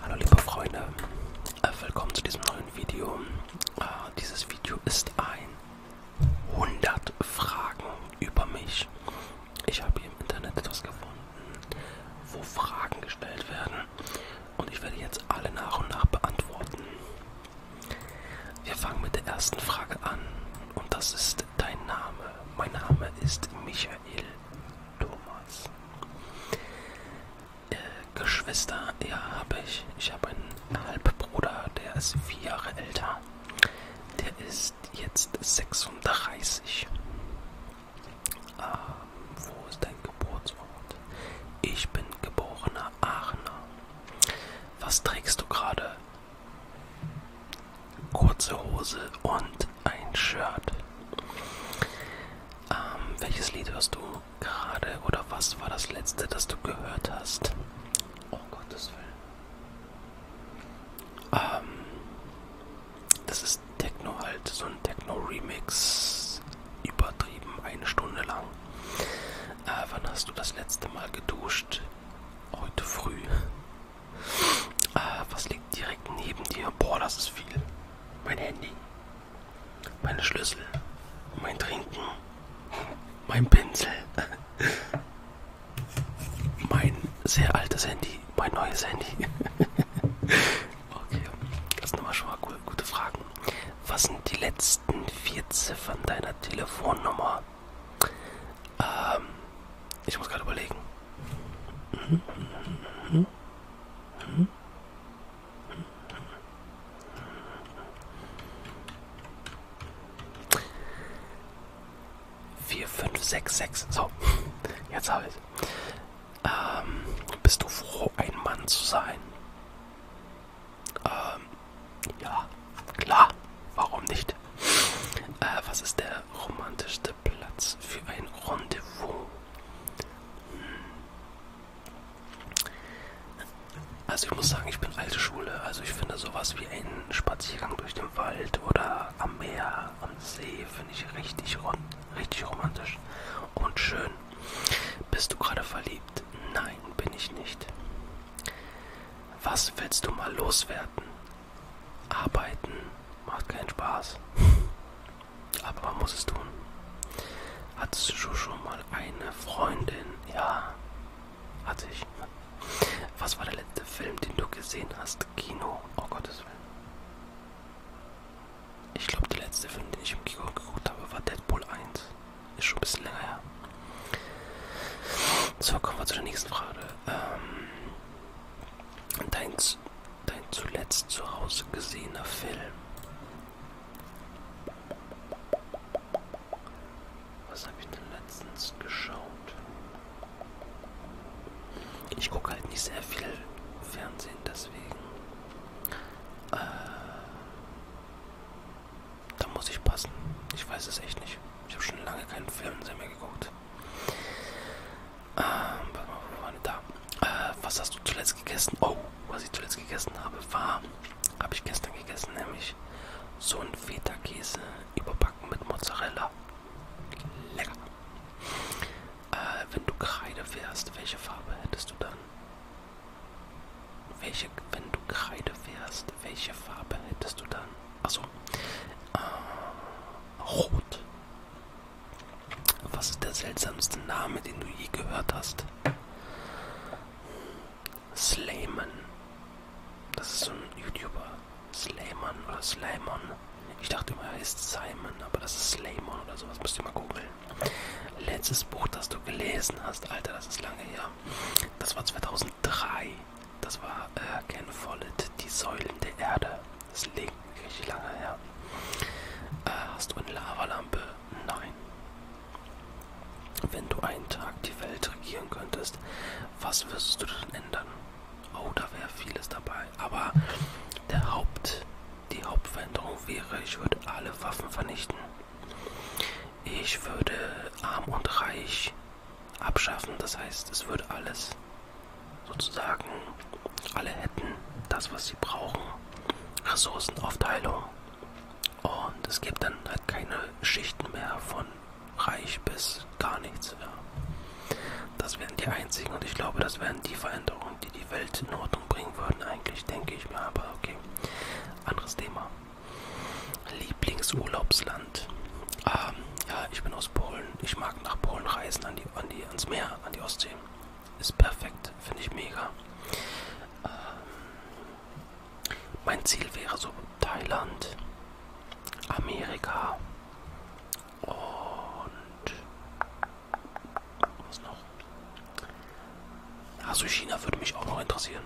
Hallo liebe Freunde, äh, willkommen zu diesem neuen Video. Äh, dieses Video ist ein 100 Fragen über mich. Ich habe hier im Internet etwas gefunden, wo Fragen gestellt werden und ich werde jetzt alle nach und nach beantworten. Wir fangen mit der ersten Frage an und das ist dein Name. Mein Name ist Michael Thomas. Äh, Geschwister, ja, habe ich. Ich habe einen Halbbruder, der ist vier Jahre älter. Der ist jetzt 36. Ähm, wo ist dein Geburtsort? Ich bin geborener Aachener. Was trägst du gerade? kurze Hose und ein Shirt. Ähm, welches Lied hörst du gerade oder was war das letzte, das du gehört hast? Oh Gottes Willen. Ähm, das ist Techno halt, so ein Techno-Remix, übertrieben, eine Stunde lang. Äh, wann hast du das letzte Mal geduscht? Heute früh. Äh, was liegt direkt neben dir? Boah, das ist viel. Mein Handy, meine Schlüssel, mein Trinken, mein Pinsel, mein sehr altes Handy, mein neues Handy. Okay, das sind immer schon mal cool. gute Fragen. Was sind die letzten vier Ziffern deiner Telefonnummer? Ähm, ich muss gerade überlegen. Vier, fünf, sechs, sechs. So, jetzt habe ich. Ähm, bist du froh, ein Mann zu sein? Ähm, ja, klar. Warum nicht? Äh, was ist der romantischste Platz für ein Rendezvous. Hm. Also ich muss sagen, ich bin alte Schule. Also ich finde sowas wie einen Spaziergang durch den Wald oder am Meer, am See, finde ich richtig, richtig romantisch und schön. Bist du gerade verliebt? Nein, bin ich nicht. Was willst du mal loswerden? Arbeiten macht keinen Spaß. Aber man muss es tun. Hattest du schon mal eine Freundin? Ja, hatte ich. Was war der letzte Film, den du gesehen hast? Kino? Oh Gottes Willen. Ich glaube, der letzte Film, den ich im Kino geguckt habe, war Deadpool 1. Ist schon ein bisschen länger her. So, kommen wir zu der nächsten Frage. Ähm, Dein, dein zuletzt zu Hause gesehener Film. Was habe ich denn letztens geschaut? Ich gucke halt nicht sehr viel Fernsehen, deswegen. Äh, da muss ich passen. Ich weiß es echt nicht. Ich habe schon lange keinen Fernseher mehr geguckt. Ähm, warte mal, wo waren wir da? Äh, was hast du zuletzt gegessen? Oh, was ich zuletzt gegessen habe, war, habe ich gestern gegessen, nämlich so ein Feta-Käse überbacken mit Mozzarella. Lecker. Äh, wenn du Kreide wärst, welche Farbe hättest du dann? Welche, wenn du Kreide wärst, welche Farbe hättest du dann? also äh, Rot. Was ist der seltsamste Name, den du je gehört hast? Slayman. Das ist so ein YouTuber. Slayman oder Slaymon. Ich dachte immer, er heißt Simon, aber das ist Slaymon oder sowas. Müsst ihr mal googeln. Letztes Buch, das du gelesen hast, Alter, das ist lange her. Das war 2003. Das war äh, Ken Follett, die Säulen der Erde. Das liegt richtig lange her. Äh, hast du eine Lavalampe? Nein. Wenn du einen Tag die Welt regieren könntest, was würdest du denn ändern? Oh, da wäre vieles dabei. Aber der Haupt, die Hauptveränderung wäre, ich würde alle Waffen vernichten. Ich würde arm und reich abschaffen, das heißt, es würde alles sozusagen, alle hätten das, was sie brauchen, Ressourcenaufteilung. Und es gibt dann halt keine Schichten mehr von reich bis gar nichts. Ja. Das wären die einzigen und ich glaube, das wären die Veränderungen, die die Welt in Ordnung bringen würden, eigentlich, denke ich mir. Aber okay, anderes Thema. Lieblingsurlaubsland. Ähm, ja, ich bin aus Polen. Ich mag nach Polen reisen, an die, an die, ans Meer, an die Ostsee. Ist perfekt, finde ich mega. Ähm, mein Ziel wäre so Thailand, Amerika und was noch? Also China würde mich auch noch interessieren.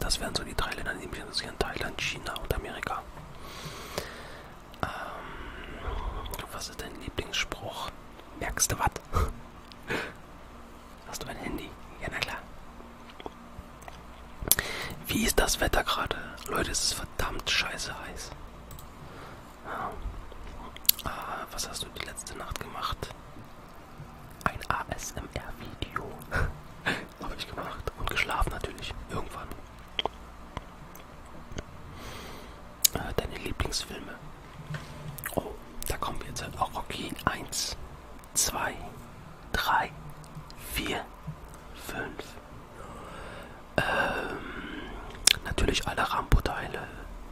Das wären so die drei Länder, die mich interessieren. Thailand, China und Amerika. Ähm, was ist dein Lieblingsspruch? Merkst du was? Hast du ein Handy? Ja, na klar. Wie ist das Wetter gerade? Leute, es ist verdammt scheiße heiß. Ja. Ah, was hast du die letzte Nacht gemacht? ein ASMR-Video habe ich gemacht und geschlafen natürlich irgendwann. Äh, deine Lieblingsfilme. Oh, da kommen wir jetzt halt auch Rocky 1, 2, 3, 4, 5. Ähm, natürlich alle Rambo-Teile,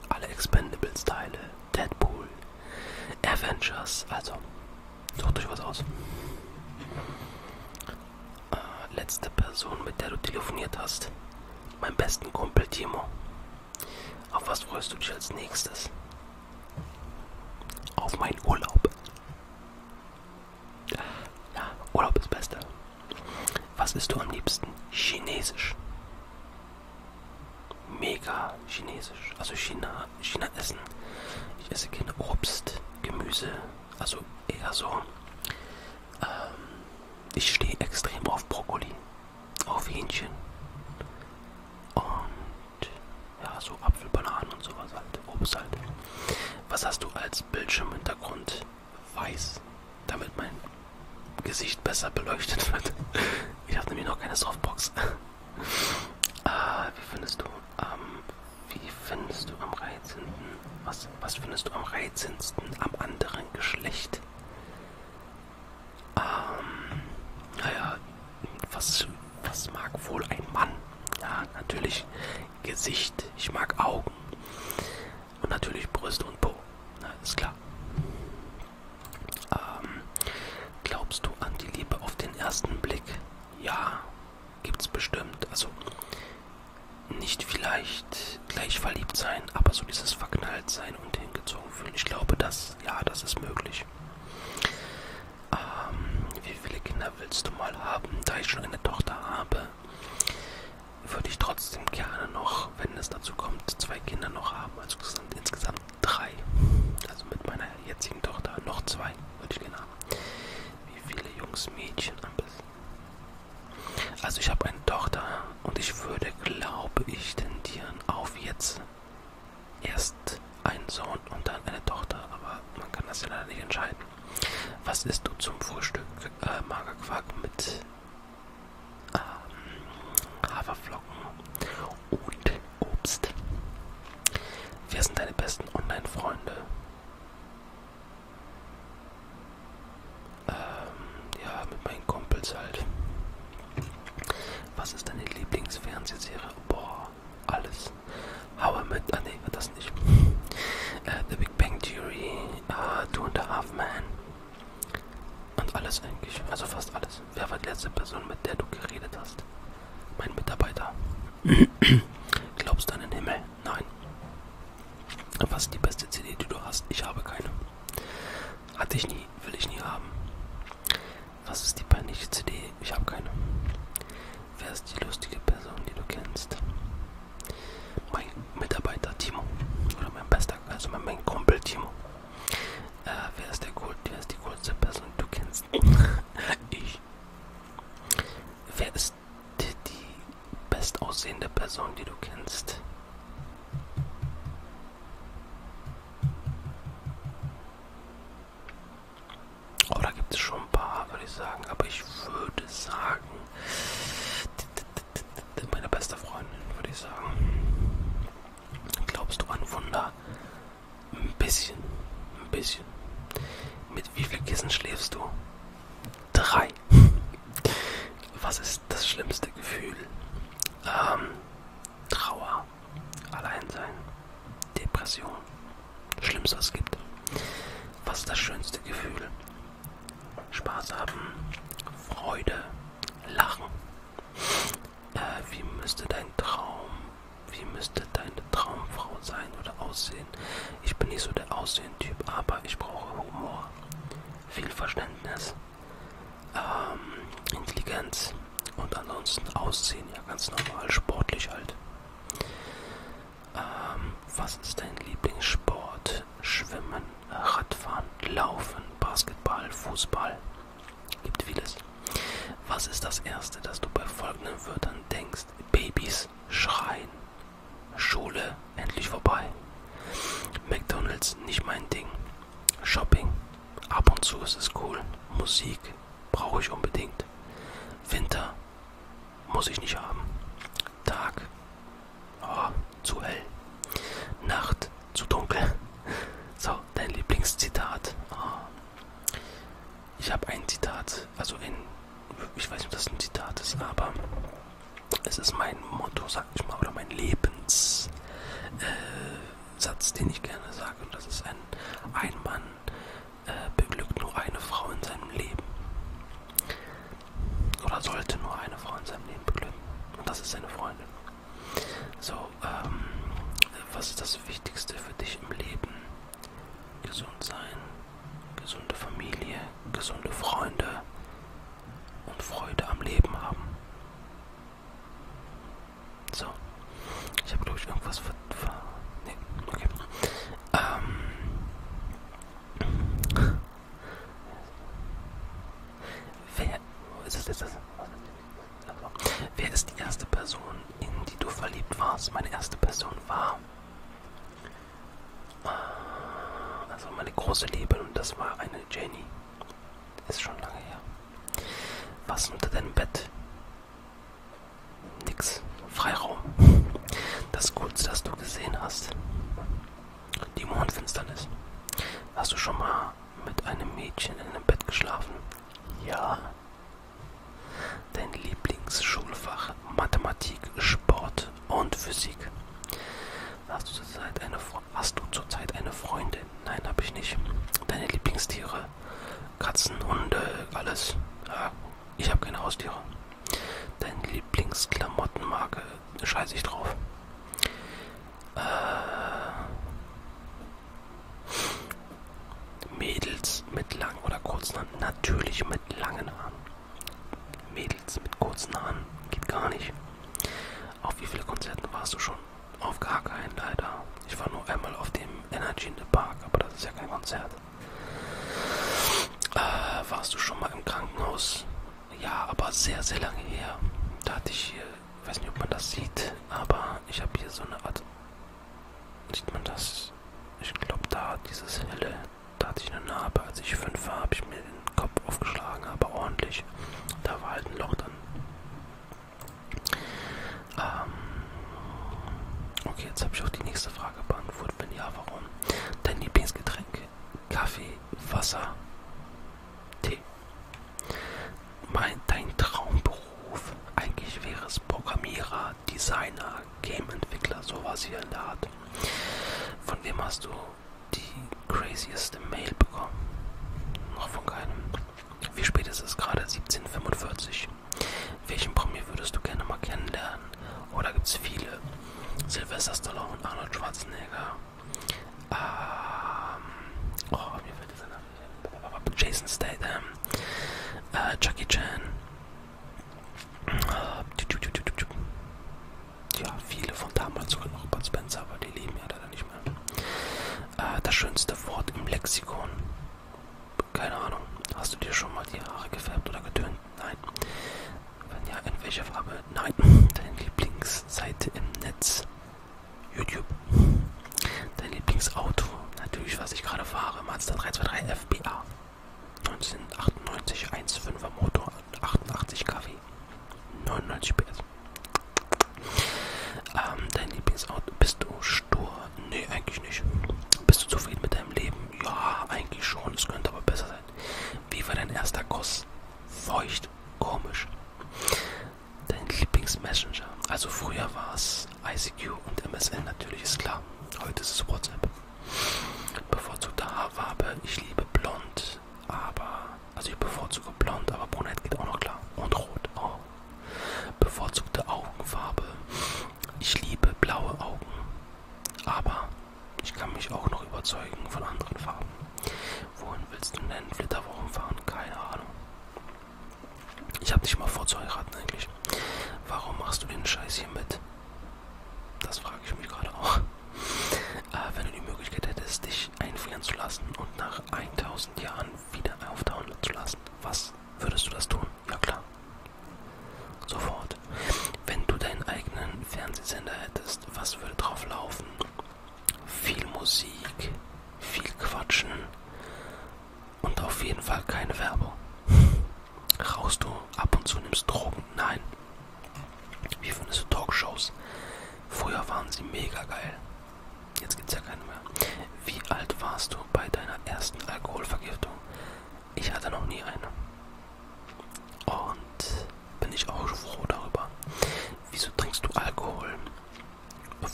alle Expendables-Teile, Deadpool, Avengers, also sucht euch was aus. Äh, letzte Person, mit der du telefoniert hast, mein besten Kumpel Timo. Auf was freust du dich als nächstes? Auf meinen Urlaub. Ja, Urlaub ist Beste. Was isst du am liebsten? Chinesisch mega chinesisch. Also China, China essen. Ich esse gerne Obst, Gemüse, also eher so. Ähm, ich stehe extrem auf Brokkoli, auf Hähnchen und ja, so Apfel, Bananen und sowas halt, Obst halt. Was hast du als Bildschirmhintergrund? Weiß, damit mein Gesicht besser beleuchtet wird. Ich habe nämlich noch keine Softbox. Äh, wie findest du am wie findest du am reizendsten? Was, was findest du am reizendsten am anderen Geschlecht? Ähm, naja, was, was mag wohl ein Mann? Ja, natürlich Gesicht, ich mag Augen und natürlich Brüste und Po. Na, ist klar. Ähm, glaubst du an die Liebe auf den ersten Blick? Ja, gibt's bestimmt. Also nicht vielleicht gleich verliebt sein, aber so dieses verknallt sein und hingezogen fühlen. Ich glaube, das, ja, das ist möglich. Ähm, wie viele Kinder willst du mal haben? Da ich schon eine Tochter habe, würde ich trotzdem gerne noch, wenn es dazu kommt, zwei Kinder noch haben. Also insgesamt drei, also mit meiner jetzigen Tochter, noch zwei würde ich gerne haben. Wie viele Jungs, Mädchen am besten? Also ich habe eine Tochter und ich würde, glaube ich, tendieren auf jetzt erst einen Sohn und dann eine Tochter, aber man kann das ja leider nicht entscheiden. Was isst du zum Frühstück? Äh, Magerquark mit ähm, Haferflocken und Obst. Wer sind deine besten Online-Freunde? Ähm, ja, mit meinen Kumpels halt. Was ist deine Lieblingsfernsehserie? Boah, alles. Hauer mit. Ah, nee, das nicht. äh, The Big Bang Theory, äh, ah, Two and a Half Man, und alles eigentlich, also fast alles. Wer war die letzte Person, mit der du geredet hast? Mein Mitarbeiter. Glaubst du an den Himmel? Nein. Was ist die beste CD, die du hast? Ich habe keine. Hatte ich nie, will ich nie haben. Was ist die peinliche CD? Ich habe keine. Wer ist die lustige Person, die du kennst? Mein Mitarbeiter Timo. Oder mein bester, also mein, mein Kumpel Timo. Äh, wer ist der cool, wer ist die coolste Person, die du kennst? ich. Wer ist die, die bestaussehende Person, die du kennst? Oh, da gibt es schon ein paar, würde ich sagen. Aber ich würde sagen, meine beste Freundin, würde ich sagen. Glaubst du an Wunder? Ein bisschen, ein bisschen. Mit wie viel Kissen schläfst du? Drei. Was ist das schlimmste Gefühl? Ähm, Trauer, Alleinsein, Depression. Schlimmste, was es gibt. Was ist das schönste Gefühl? Spaß haben, Freude, lachen. Äh, wie müsste dein Traum, wie müsste deine Traumfrau sein oder aussehen? Ich bin nicht so der Aussehen-Typ, aber ich brauche Humor, viel Verständnis, ähm, Intelligenz und ansonsten Aussehen, ja ganz normal, sportlich halt. Ähm, was ist dein Lieblingssport? Schwimmen, Radfahren, Laufen, Basketball, Fußball. Gibt vieles. Was ist das Erste, das du bei folgenden Wörtern denkst? Babys, Schreien, Schule, endlich vorbei. McDonalds, nicht mein Ding. Shopping, ab und zu ist es cool. Musik, brauche ich unbedingt. Winter, muss ich nicht haben. Tag, Oh, zu hell. Nacht, zu dunkel. So, dein Lieblingszitat. Oh. Ich habe ein Zitat, also ein, ich weiß nicht, ob das ein Zitat ist, aber es ist mein Motto, sag ich mal, oder mein Lebenssatz, äh, den ich gerne sage. Und das ist ein, ein Mann äh, beglückt nur eine Frau in seinem Leben oder sollte nur eine Frau in seinem Leben beglücken. Und das ist seine Freundin. So, ähm, was ist das Wichtigste für dich im Leben? Gesund sein, gesunde Familie, gesunde Freunde und Freude am Leben haben. So, ich habe glaube ich irgendwas ver... ver nee, okay. Ähm, Wer, ist das, wer ist die erste Person, in die du verliebt warst? Meine erste Person war äh, also meine große Liebe und das war eine Jenny. Ist schon lange her. Was unter deinem Bett? Nix. Freiraum. Das Gutes, das du gesehen hast. Die Mondfinsternis. Hast du schon mal mit einem Mädchen in einem Bett geschlafen? Ja. Dein Lieblingsschulfach Mathematik, Sport und Physik. Hast du zurzeit eine, hast du zurzeit eine Freundin? Nein, habe ich nicht. Deine Lieblingstiere? Katzen, Hunde, alles. Ja, ich habe keine Haustiere. Deine Lieblingsklamottenmarke. Scheiß ich drauf. Äh, Mädels mit langen oder kurzen Haaren. Natürlich mit langen Haaren. Mädels mit kurzen Haaren. Geht gar nicht. Auf wie viele Konzerten warst du schon? Auf gar keinen, leider. Ich war nur einmal auf dem Energy in the Park, aber das ist ja kein Konzert. Äh, warst du schon mal im Krankenhaus? Ja, aber sehr, sehr lange her. Da hatte ich hier, ich weiß nicht, ob man das sieht, aber ich habe hier so eine Art. Sieht man das? Ich glaube, da dieses helle, da hatte ich eine Narbe. Als ich fünf war, habe ich mir den Kopf aufgeschlagen, aber ordentlich. Da war halt ein Loch drin. Ähm, okay, jetzt habe ich auch die nächste Frage beantwortet. Wenn ja, warum? Dein Lieblingsgetränk? Kaffee, Wasser, Tee. Mein, dein Traumberuf? Eigentlich wäre es Programmierer, Designer, Game-Entwickler, sowas hier in der Art. Von wem hast du die crazieste Mail bekommen? Noch von keinem. Wie spät ist es gerade? 17.45 welchen Promi würdest du gerne mal kennenlernen? Oder oh, gibt es viele? Sylvester Stallone und Arnold Schwarzenegger. Ähm, oh, mir fällt dieser Name Jason Statham. Äh, Jackie Chan. Äh, ja, viele von damals, sogar noch Bud Spencer, aber die leben ja leider nicht mehr. Äh, das schönste Wort im Lexikon. Keine Ahnung. Hast du dir schon mal die Haare gefärbt oder getönt? Nein. Wenn ja, in welcher Farbe? Nein. Deine Lieblingsseite im Netz? YouTube. Dein Lieblingsauto? Natürlich, was ich gerade fahre. Mazda 323 FBA. 1998 1,5er Motor. 88 kW. 99 PS. Ähm, dein Lieblingsauto? Bist du stur? Nee, eigentlich nicht. Bist du zufrieden mit deinem Leben? Ja, eigentlich schon. Es könnte aber besser sein. Wie war dein erster Kuss? Feucht, komisch. Dein Lieblingsmessenger. Also früher war es ICQ und MSN natürlich, ist klar. Heute ist es WhatsApp. Bevorzugte Haarfarbe. Ich liebe blond, aber... Also ich bevorzuge blond, aber brunett geht auch noch klar. Und rot. Oh. Bevorzugte Augenfarbe. Ich liebe blaue Augen, aber ich kann mich auch noch überzeugen von anderen Farben. Wohin willst du denn Flitterwochen fahren? Keine Ahnung. Ich habe nicht mal vor zu heiraten eigentlich. Warum machst du den Scheiß hier mit? Das frage ich mich gerade auch. Äh, wenn du die Möglichkeit hättest, dich einfrieren zu lassen und nach 1000 Jahren wieder auftauen zu lassen, was würdest du das tun? Ja klar. Sofort. Wenn du deinen eigenen Fernsehsender hättest, was würde drauf laufen? Viel Musik, viel Quatschen und auf jeden Fall keine Werbung. Raust du ab und zu nimmst Drogen? Nein. Wie findest du Talkshows? Früher waren sie mega geil. Jetzt gibt's ja keine mehr. Wie alt warst du bei deiner ersten Alkoholvergiftung? Ich hatte noch nie eine. Und bin ich auch froh darüber. Wieso trinkst du Alkohol?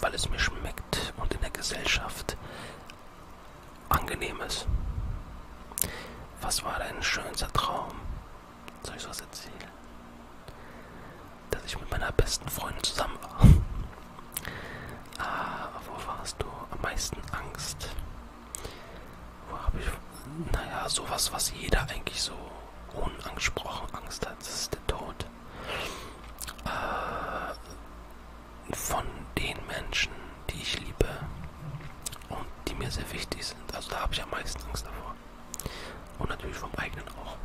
Weil es mir schmeckt und in der Gesellschaft angenehm ist. Was war dein schönster Traum? Soll ich was erzählen? Dass ich mit meiner besten Freundin zusammen war. Ah, wovor hast du am meisten Angst? Wo habe ich. Naja, sowas, was jeder eigentlich so unangesprochen Angst hat, das ist der Tod. Äh, von den Menschen, die ich liebe und die mir sehr wichtig sind. Also da habe ich am meisten Angst davor. Und natürlich vom eigenen auch.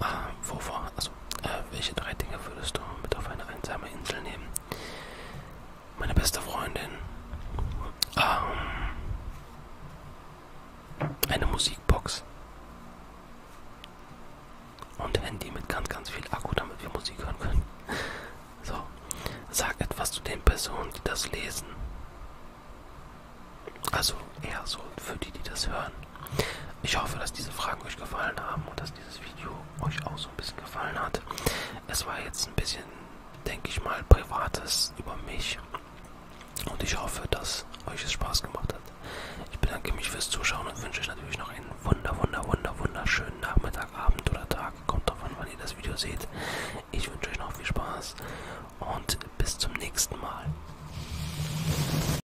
Ah, wovor? Also, äh, welche drei Dinge würdest du mit auf eine einsame Insel nehmen? Meine beste Freundin. Ähm, eine Musikbox. Und Handy mit ganz, ganz viel Akku, damit wir Musik hören können. So, sag etwas zu den Personen, die das lesen. Also eher so für die, die das hören. Ich hoffe, dass diese Fragen euch gefallen haben und dass dieses Video euch auch so ein bisschen gefallen hat. Es war jetzt ein bisschen, denke ich mal, privates über mich. Und ich hoffe, dass euch es Spaß gemacht hat. Ich bedanke mich fürs Zuschauen und wünsche euch natürlich noch einen wunder, wunder, wunder, wunderschönen Nachmittag, Abend oder Tag. Kommt drauf an, wann ihr das Video seht. Ich wünsche euch noch viel Spaß und bis zum nächsten Mal.